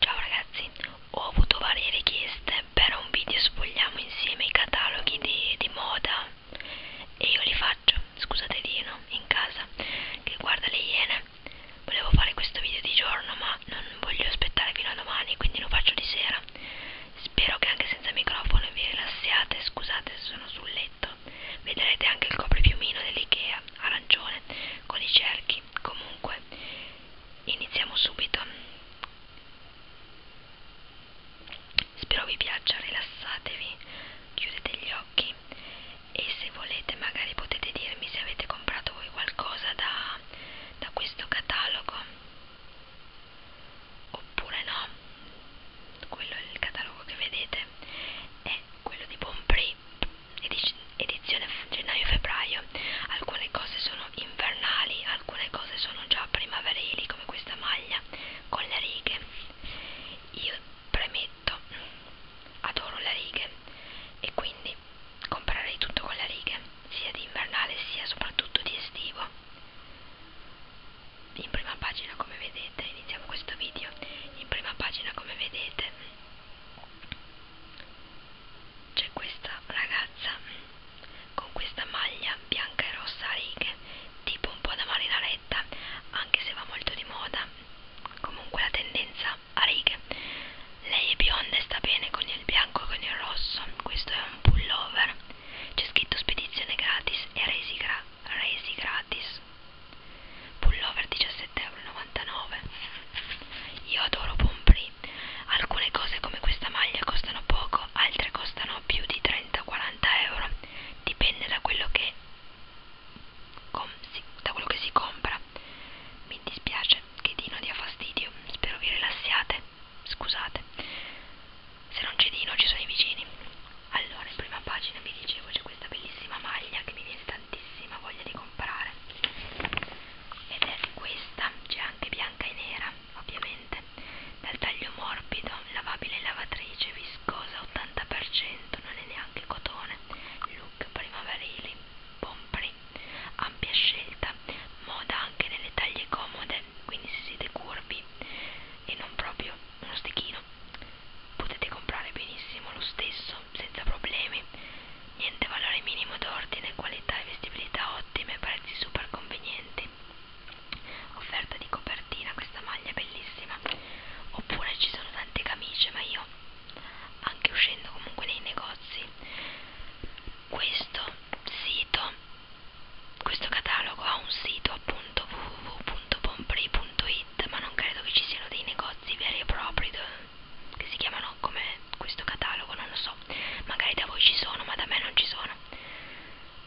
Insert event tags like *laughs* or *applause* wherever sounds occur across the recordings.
Ciao ragazzi, ho avuto varie richieste per un video sfogliamo insieme i cataloghi di, di moda e io li faccio, scusate Dino, in casa che guarda le iene. Volevo fare questo video di giorno ma non voglio aspettare fino a domani quindi lo faccio di sera. Spero che anche senza microfono vi rilassiate, scusate se sono sul letto Vedrete anche il copripiumino dell'Ikea, arancione, con i cerchi. Comunque, iniziamo subito. Spero vi piaccia, rilassatevi, chiudete gli occhi e se volete magari potete dirmi se avete comprato voi qualcosa da, da questo catalogo oppure no. Quello è il catalogo che vedete è quello di Bonprix edizione gennaio-febbraio alcune cose sono invernali alcune cose sono già primaverili come questa maglia con le righe io premetto adoro le righe e quindi comprerei tutto con le righe sia di invernale sia soprattutto di estivo in prima pagina come vedete iniziamo questo video in prima pagina come vedete c'è questa ragazza con questa maglia bianca e rossa a righe tipo un po' da marinaretta anche se va molto di moda comunque la tendenza a righe lei è bionda e sta bene con il bianco e con il rosso questo è un pullover c'è scritto spedizione gratis e resi gra resi gratis pullover 17,99€ io adoro Pomprì alcune cose come questa maglia costano poco altre costano più di 30-40 euro dipende da quello che com si, da quello che si compra mi dispiace che Dino dia fastidio spero vi rilassiate scusate se non c'è Dino ci sono i vicini allora in prima pagina vi dicevo c'è questa bellissima maglia che mi viene tantissimo tantissima voglia di comprare ed è questa c'è anche bianca e nera ovviamente dal taglio morbido lavabile in lavatrice viscosa 80% non è neanche cotone look primaverili pompri ampia scelta moda anche nelle taglie comode quindi se siete curvi e non proprio uno stichino potete comprare benissimo lo stesso senza problemi niente valore minimo d'ordine qualità e vestibilità ottime prezzi super convenienti offerta di copertina questa maglia è bellissima oppure ci sono tante camicie ma io anche uscendo comunque nei negozi questo sito questo catalogo ha un sito appunto www.pompri.it Market, ma non credo che ci siano dei negozi veri e propri che si chiamano come questo catalogo, non lo so. Magari da voi ci sono, ma da me non ci sono.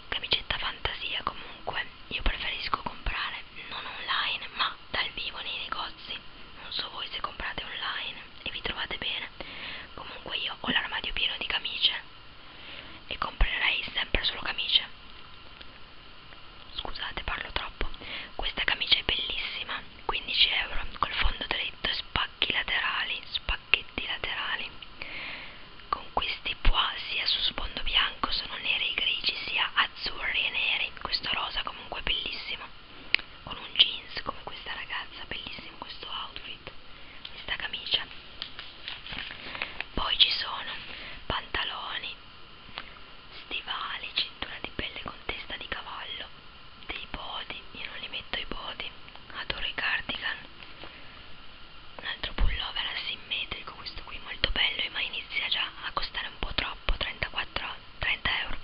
Camicetta fantasia comunque, io preferisco comprare non online, ma dal vivo nei negozi. Non so voi se comprate online e vi trovate bene. Comunque io ho l'armadio pieno di camicie e comprerei sempre solo camicie Scusate, parlo troppo. Questa camicia è bellissima, 15 euro, col fondo dritto e spacchi laterali, spacchetti laterali. Con questi pois sia su sfondo bianco sono neri e grigi, sia azzurri e neri. Questo rosa comunque è bellissimo. Con un jeans come questa ragazza, bellissimo questo outfit, questa camicia. Poi ci sono pantaloni Stivali, cintura di pelle con testa di cavallo, dei body, io non li metto i body, adoro i cardigan. Un altro pullover asimmetrico, questo qui molto bello, ma inizia già a costare un po' troppo, 34, 30 euro.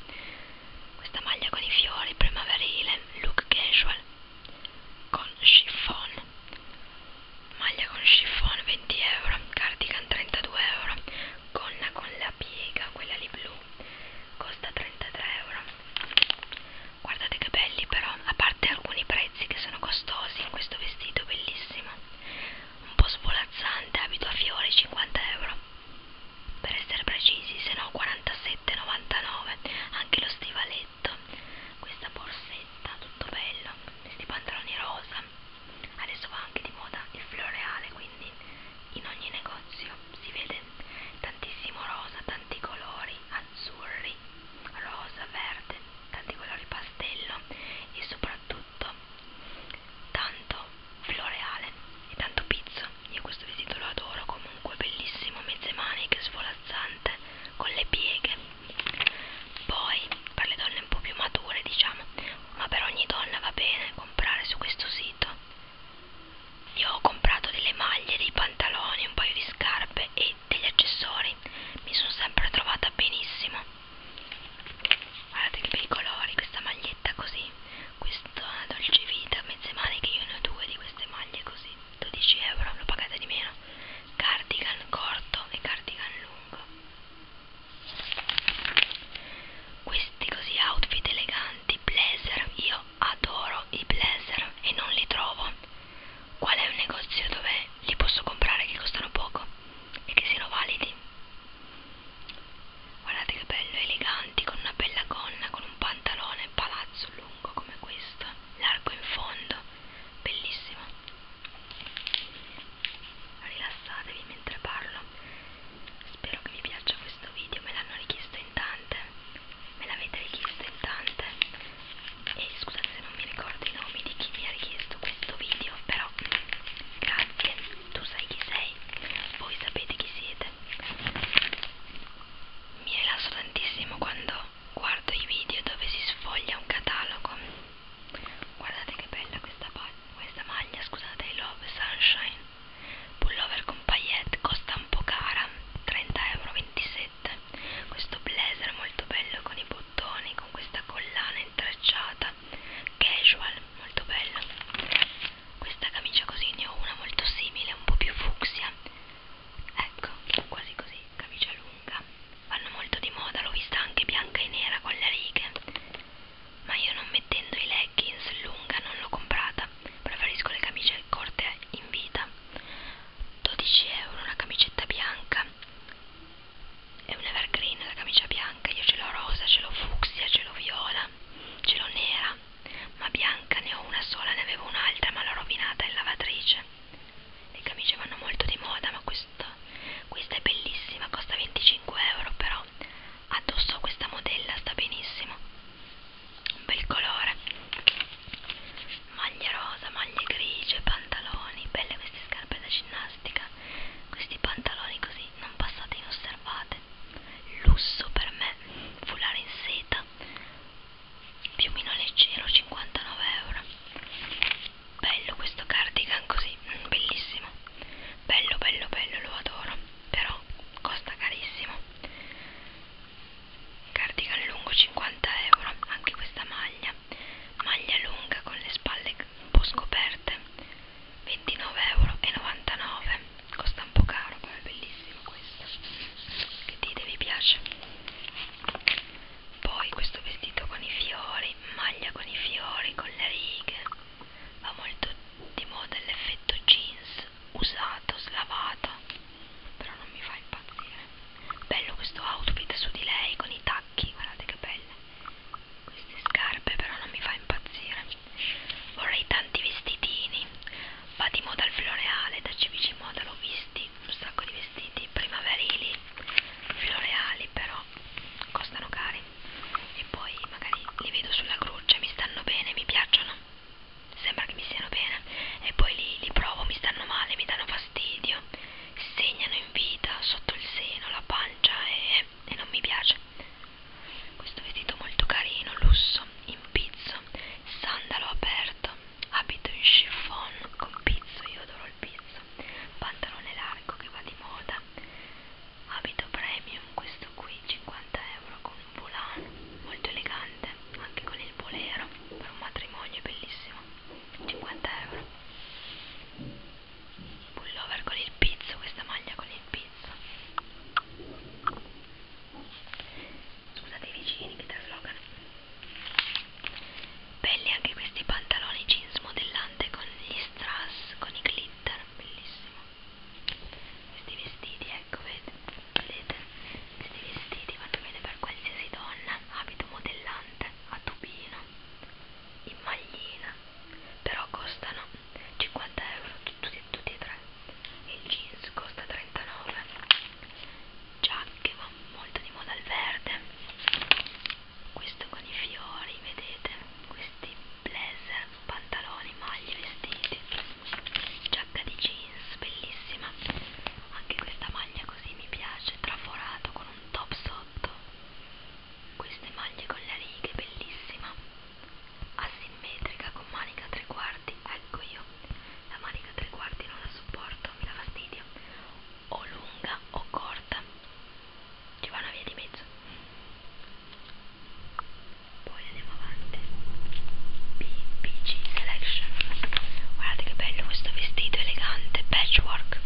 Questa maglia con i fiori primaverile, look casual, con chiffon maglia con chiffon 20 euro cardigan 32 euro gonna con la piega quella lì blu costa 33 euro guardate che belli però a parte alcuni prezzi che sono costosi in questo vestito bellissimo un po' svolazzante abito a fiori 50 euro per essere precisi se no 47,99 anche lo stivaletto questa borsetta tutto bello questi pantaloni rosa adesso va anche di moda il floreale quindi in ogni negozio si vede tantissimo rosa tanti colori azzurri rosa verde tanti colori pastello e soprattutto tanto floreale e tanto pizzo io questo vestito lo adoro comunque bellissimo mezze maniche svolazzante con le pieghe poi, per le donne un po' più mature, diciamo, ma per ogni donna va bene comprare su questo sito. Io ho comprato delle maglie, dei pantaloni, un paio di scarpe e degli accessori. Mi sono sempre trovata benissimo. Guardate che bei colori, questa maglietta così, questa dolce vita, mezze maniche, io ne ho due di queste maglie così, 12 euro, l'ho pagata di meno. Cardigan corto e cardigan lungo. Questi così outfit eleganti, blazer, io adoro i blazer e non li trovo. Qual è un negozio dove li posso comprare che costano poco e che siano validi? Guardate che bello, eleganti, con una bella gonna, con un pantalone palazzo lungo come questo, largo in fondo, bellissimo rilassatevi mentre parlo spero che vi piaccia questo video me l'hanno richiesto in tante me l'avete richiesto in tante e scusate se non mi ricordo i nomi di chi mi ha richiesto questo video però grazie tu sai chi sei voi sapete chi siete mi rilasso tantissimo quando guardo i video dove si sfoglia un catalogo Guardate che bella questa, questa maglia, scusate, I Love Sunshine. Pullover con paillette, costa un po' cara, 30,27 euro. Questo blazer molto bello con i bottoni, con questa collana intrecciata, casual, molto bello. Questa camicia così ne ho una molto simile, un po' più fucsia. Ecco, quasi così, camicia lunga, vanno molto di moda, l'ho vista anche bianca e nera con le righe, ma io non mettendo i leggings lunga non l'ho comprata, preferisco le camicie corte in vita, 12 euro una camicetta bianca, è un evergreen la camicia bianca, io ce l'ho rosa, ce l'ho fucsia, ce l'ho viola, ce l'ho nera, ma bianca ne ho una sola, ne avevo un'altra ma l'ho rovinata in lavatrice le camicie vanno molto di moda ma questa, questa è bellissima costa 25 euro però addosso a questa modella sta benissimo un bel colore maglie rosa maglie grigie pantaloni belle queste scarpe da ginnastica questi pantaloni così non passate inosservate lusso per me foulard in seta piumino leggero 59 euro bello questo cardigan così, mm, bellissimo, bello bello bello, lo adoro, però costa carissimo, cardigan lungo 50 euro, anche questa maglia, maglia lunga con le spalle un po' scoperte, 29,99€, costa un po' caro, però è bellissimo questo, che dite vi piace? poi questo vestito con i fiori maglia con i fiori con le righe va molto di moda l'effetto jeans usato slavato però non mi fa impazzire bello questo outfit su di lei con i tacchi guardate che belle queste scarpe però non mi fa impazzire vorrei tanti vestitini va di moda il floreale da cvc moda l'ho visti un sacco di vestiti primaverili floreali però però costano cari e poi magari li vedo sulla croce, mi stanno bene, mi piacciono, sembra che mi stiano bene e poi li, li provo, mi stanno male, mi danno fastidio, segnano in vita sotto il seno, la pancia e, e non mi piace. Questo vestito molto carino, lusso, in pizzo, sandalo aperto, abito in chiffon con pizzo, io adoro il pizzo pantalone largo che va di moda, abito premium, questo qui 50 euro con un volano, molto elegante, anche con il bolero, per un matrimonio bellissimo, 50 euro. Pullover con il pizzo, questa maglia con il pizzo. Scusate i vicini che traslocano. Belli anche questi pantaloni jeans modellante con gli strass, con i glitter, bellissimo. Questi vestiti, ecco, vedete? Questi vestiti vanno bene per qualsiasi donna, abito modellante, a tubino, in maglina, però costano 50 euro tutti, tutti e tre. Il jeans costa 39. Giacche, va molto di moda al verde questo con i fiori vedete questi blazer pantaloni maglie vestiti giacca di jeans bellissima anche questa maglia così mi piace traforato con un top sotto queste maglie con le righe bellissima asimmetrica con manica tre quarti ecco io la manica tre quarti non la sopporto mi dà fastidio o lunga o corta porta ci va una via di mezzo poi andiamo avanti BPG Selection guardate che bello questo vestito elegante patchwork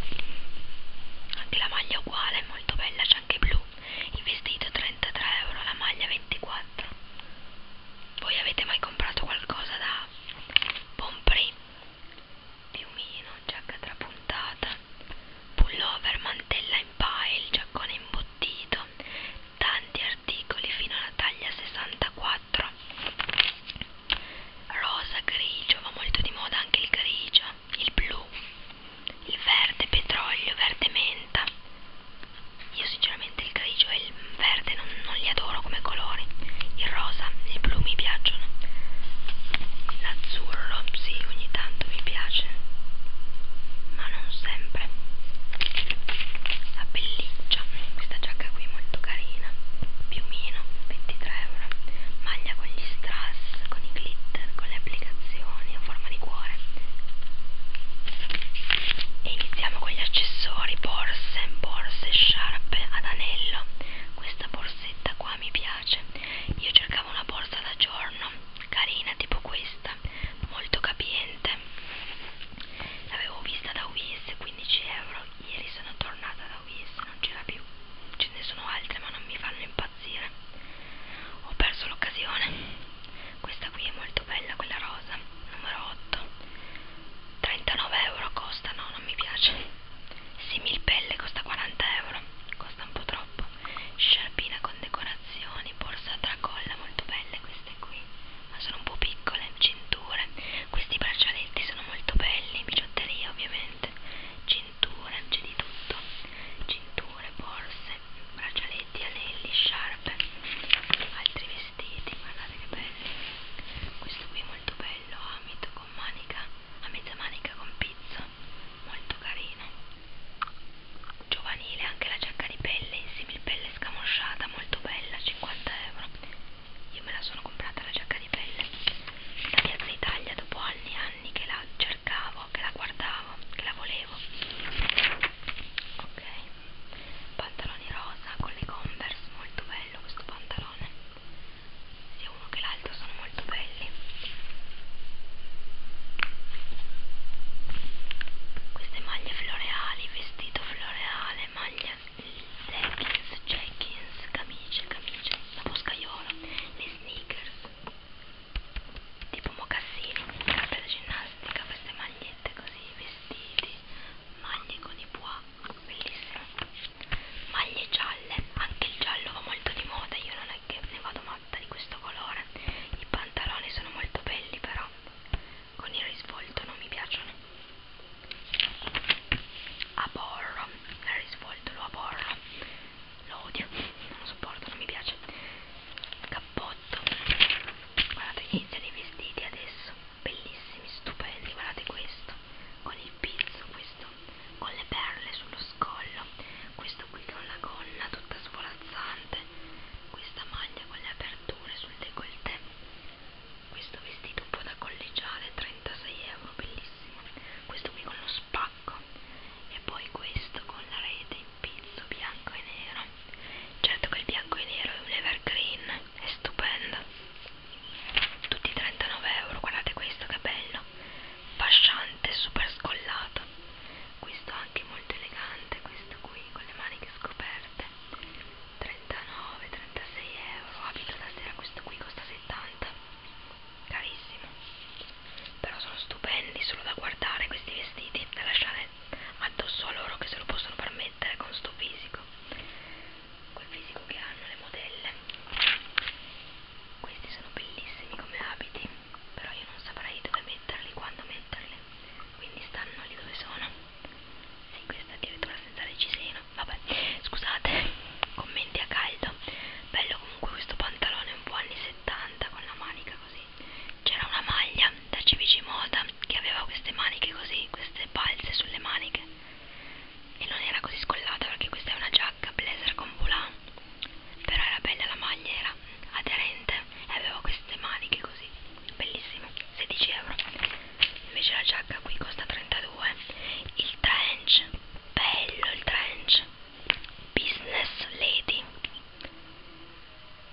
anche la maglia è uguale è molto bella c'è anche blu il vestito 33 euro la maglia 24 voi avete mai comprato qualcosa da Pompré piumino, giacca trapuntata, pullover, mantella in pile, giaccone imbottito, tanti articoli fino alla taglia 64, rosa, grigio, va molto di moda anche il grigio, il blu, il verde petrolio, verde menta. Io sinceramente il grigio e il verde non, non li adoro loro come colori il rosa, il blu mi piacciono l'azzurro, sì, ogni tanto mi piace ma non sempre la pelliccia questa giacca qui molto carina piumino, 23 euro maglia con gli strass, con i glitter, con le applicazioni a forma di cuore e iniziamo con gli accessori borse, borse, sciarpe ad anello questa borsa borsetta qua mi piace io cercavo una borsa da giorno carina tipo questa molto capiente l'avevo vista da US 15 euro ieri sono tornata da US non c'era più ce ne sono altre ma non mi fanno impazzire ho perso l'occasione questa qui è molto bella quella rosa numero 8 39 euro costa no non mi piace Similpelle costa 40 euro, costa un po' troppo. Sciarpina con decorazioni, borsa a tracolla, molto belle queste qui, ma sono un po' piccole. Cinture, questi braccialetti sono molto belli. Bigiotteria, ovviamente. Cinture, c'è di tutto: cinture, borse, braccialetti, anelli, sciarpe, altri vestiti. Guardate che belli! Questo qui è molto bello. Amito con manica, a mezza manica con pizzo, molto carina. Giovanile anche la giacca di pelle in similpelle scamosciata, molto bella, 50 euro. Io me la sono comprata la giacca di pelle da Piazza Italia dopo anni e anni che la cercavo, che la guardavo, che la volevo. Ok, pantaloni rosa con le converse, molto bello questo pantalone sia uno che l'altro sono molto belli queste maglie floreali vestito floreale maglia leggings jeggings camicie camicie la boscaiola le sneakers tipo mocassini carta da ginnastica queste magliette così vestiti maglie con i pois Wills maglie gialle anche il giallo va molto di moda io non è che ne vado matta di questo colore i pantaloni sono molto belli però con il risvolto non mi piacciono aborro il risvolto lo aborro lo odio non lo sopporto non mi piace cappotto guardate che inizia dei vestiti adesso bellissimi, stupendi, guardate questo, con il pizzo, questo con le perle sullo scollo, questo qui con la gonna tutta svolazzante, questa maglia con le aperture sul décolleté, questo vestito un po' da collegiale, 36 euro, bellissimo, questo qui con lo spacco e poi questo con la rete in pizzo bianco e nero certo che il bianco e nero è un evergreen è stupendo tutti 39 euro guardate questo che bello fasciante super scollato questo anche molto elegante questo qui con le maniche scoperte 39 36 euro abito ah, da sera questo qui costa 70 carissimo però sono stupendi solo da guardare questi vestiti da lasciare addosso a loro che se lo possono permettere con sto fisico col fisico che hanno le modelle questi sono bellissimi come abiti però io non saprei dove metterli quando metterli quindi stanno lì dove sono sì questa addirittura senza reggiseno vabbè scusate *laughs* commenti a caldo bello comunque questo pantalone un po' anni 70 con la manica così c'era una maglia da CVC Moda che aveva queste maniche così queste balze sulle maniche e non era così scollata perché questa è una giacca blazer con volant però era bella la maglia era aderente e aveva queste maniche così bellissimo 16 euro invece la giacca qui costa 32 il trench bello il trench business lady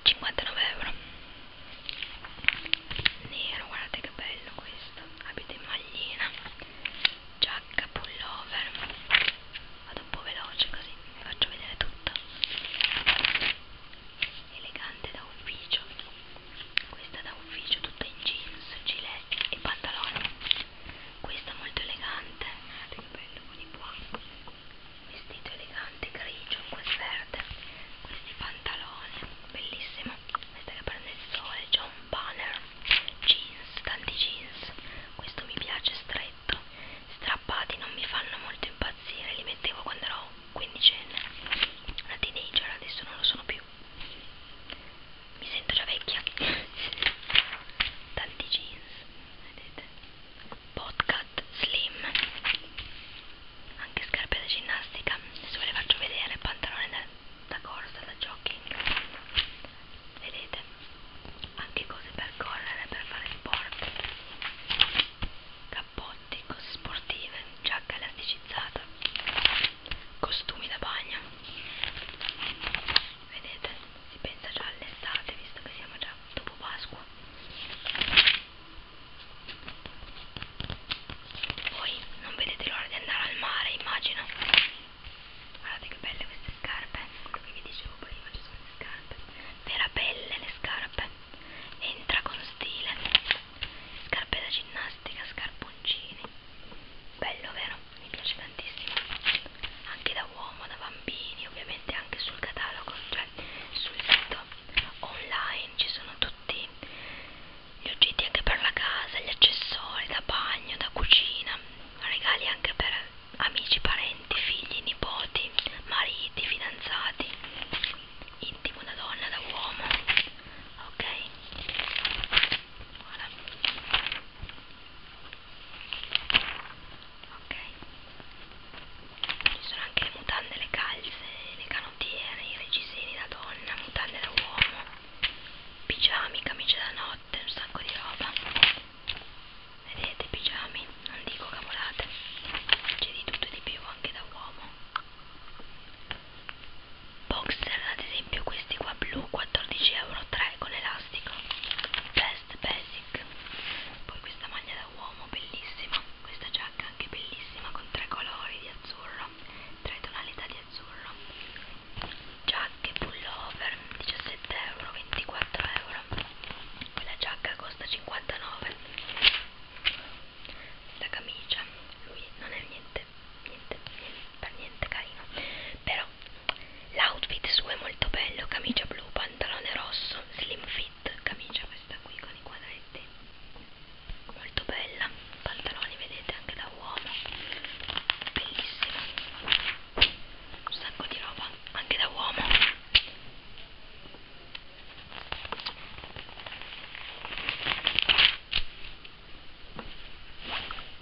59 euro nero guardate che bello questo questo abito in maglina giacca pullover vado un po' veloce così vi faccio vedere tutto elegante da ufficio questa da ufficio tutta in jeans gilet e pantaloni questa molto elegante guardate che bello con i buon vestito elegante grigio quel verde questi pantaloni bellissimo questa che prende il sole c'è un banner jeans tanti jeans questo mi piace stretto strappati non mi fanno molto impazzire li mettevo quando ero quindicenne una teenager adesso non lo sono più mi sento già vecchia tanti jeans vedete podcast slim anche scarpe da ginnastica adesso ve le faccio vedere pantalone da da corsa, da jogging vedete anche cose per correre, per fare sport cappotti, cose sportive, giacca elasticizzata costumi da bagno vedete si pensa già all'estate visto che siamo già dopo Pasqua voi non vedete l'ora di andare al mare, immagino. Guardate che belle queste scarpe. Quello che vi dicevo prima, ci sono le scarpe. Vera pelle le scarpe. Entra con stile. Scarpe da ginnastica, scarponcini. Bello, vero? Mi piace tantissimo. Anche da uomo, da bambini, ovviamente anche sul catalogo, cioè sul sito online ci sono tutti gli oggetti anche per la casa, gli accessori da bagno, da cucina, regali anche per amici, parenti, figli, nipoti, mariti, fidanzati, intimo da donna, da uomo, ok? Voilà. Ok, ci sono anche le mutande, le calze, le canottiere cantiere, i reggiseni da donna, mutande da uomo, pigiami, camicie da notte, un sacco di roba. Vedete, pigiami, non dico cavolate, c'è di tutto e di più anche da uomo. Boxer, ad esempio, questi qua blu, 14 euro, 3 con elastico. Best Basic. Poi questa maglia da uomo, bellissima. Questa giacca anche bellissima con tre colori di azzurro tra i tonalità di azzurro giacche pullover 17 euro 24 euro quella giacca costa 59 la camicia lui non è niente niente, niente per niente carino però l'outfit suo è molto bello camicia blu pantalone rosso slim fit camicia questa qui con i quadretti molto bella pantaloni vedete anche da uomo bellissimo un sacco di roba anche da uomo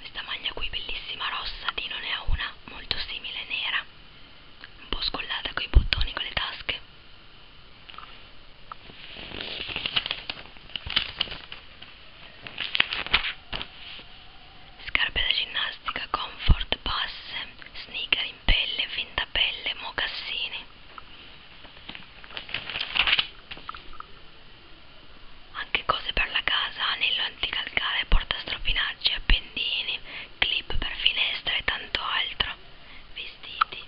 questa maglia qui bellissima rossa di non è una molto simile nera un po' scollata coi bottoni con le tasche Scarpe da ginnastica, comfort, passe, sneaker in pelle, finta pelle, mocassini. Anche cose per la casa, anello anticalcare, portastropinaggi, appendini, clip per finestra e tanto altro. Vestiti.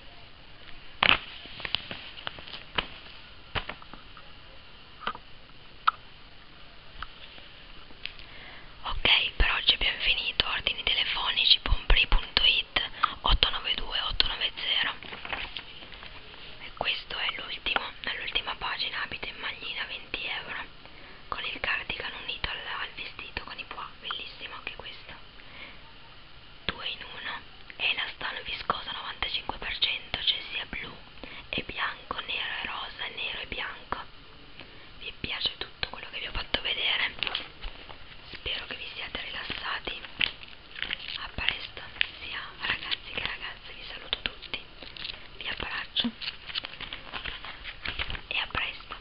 Ok, per oggi abbiamo finito. Ordini telefonici pompri.it 892 890. E questo è l'ultimo, l'ultima pagina abito in maglina 20 euro con il cardigan unito al, al vestito con i pois, bellissimo anche questo 2 in 1 è elastano viscoso 95% cioè sia blu e bianco, nero e rosa, nero e bianco vi piace tutto quello che vi ho fatto vedere spero che vi siate rilassati a presto sia ragazzi che ragazze vi saluto tutti vi abbraccio e a presto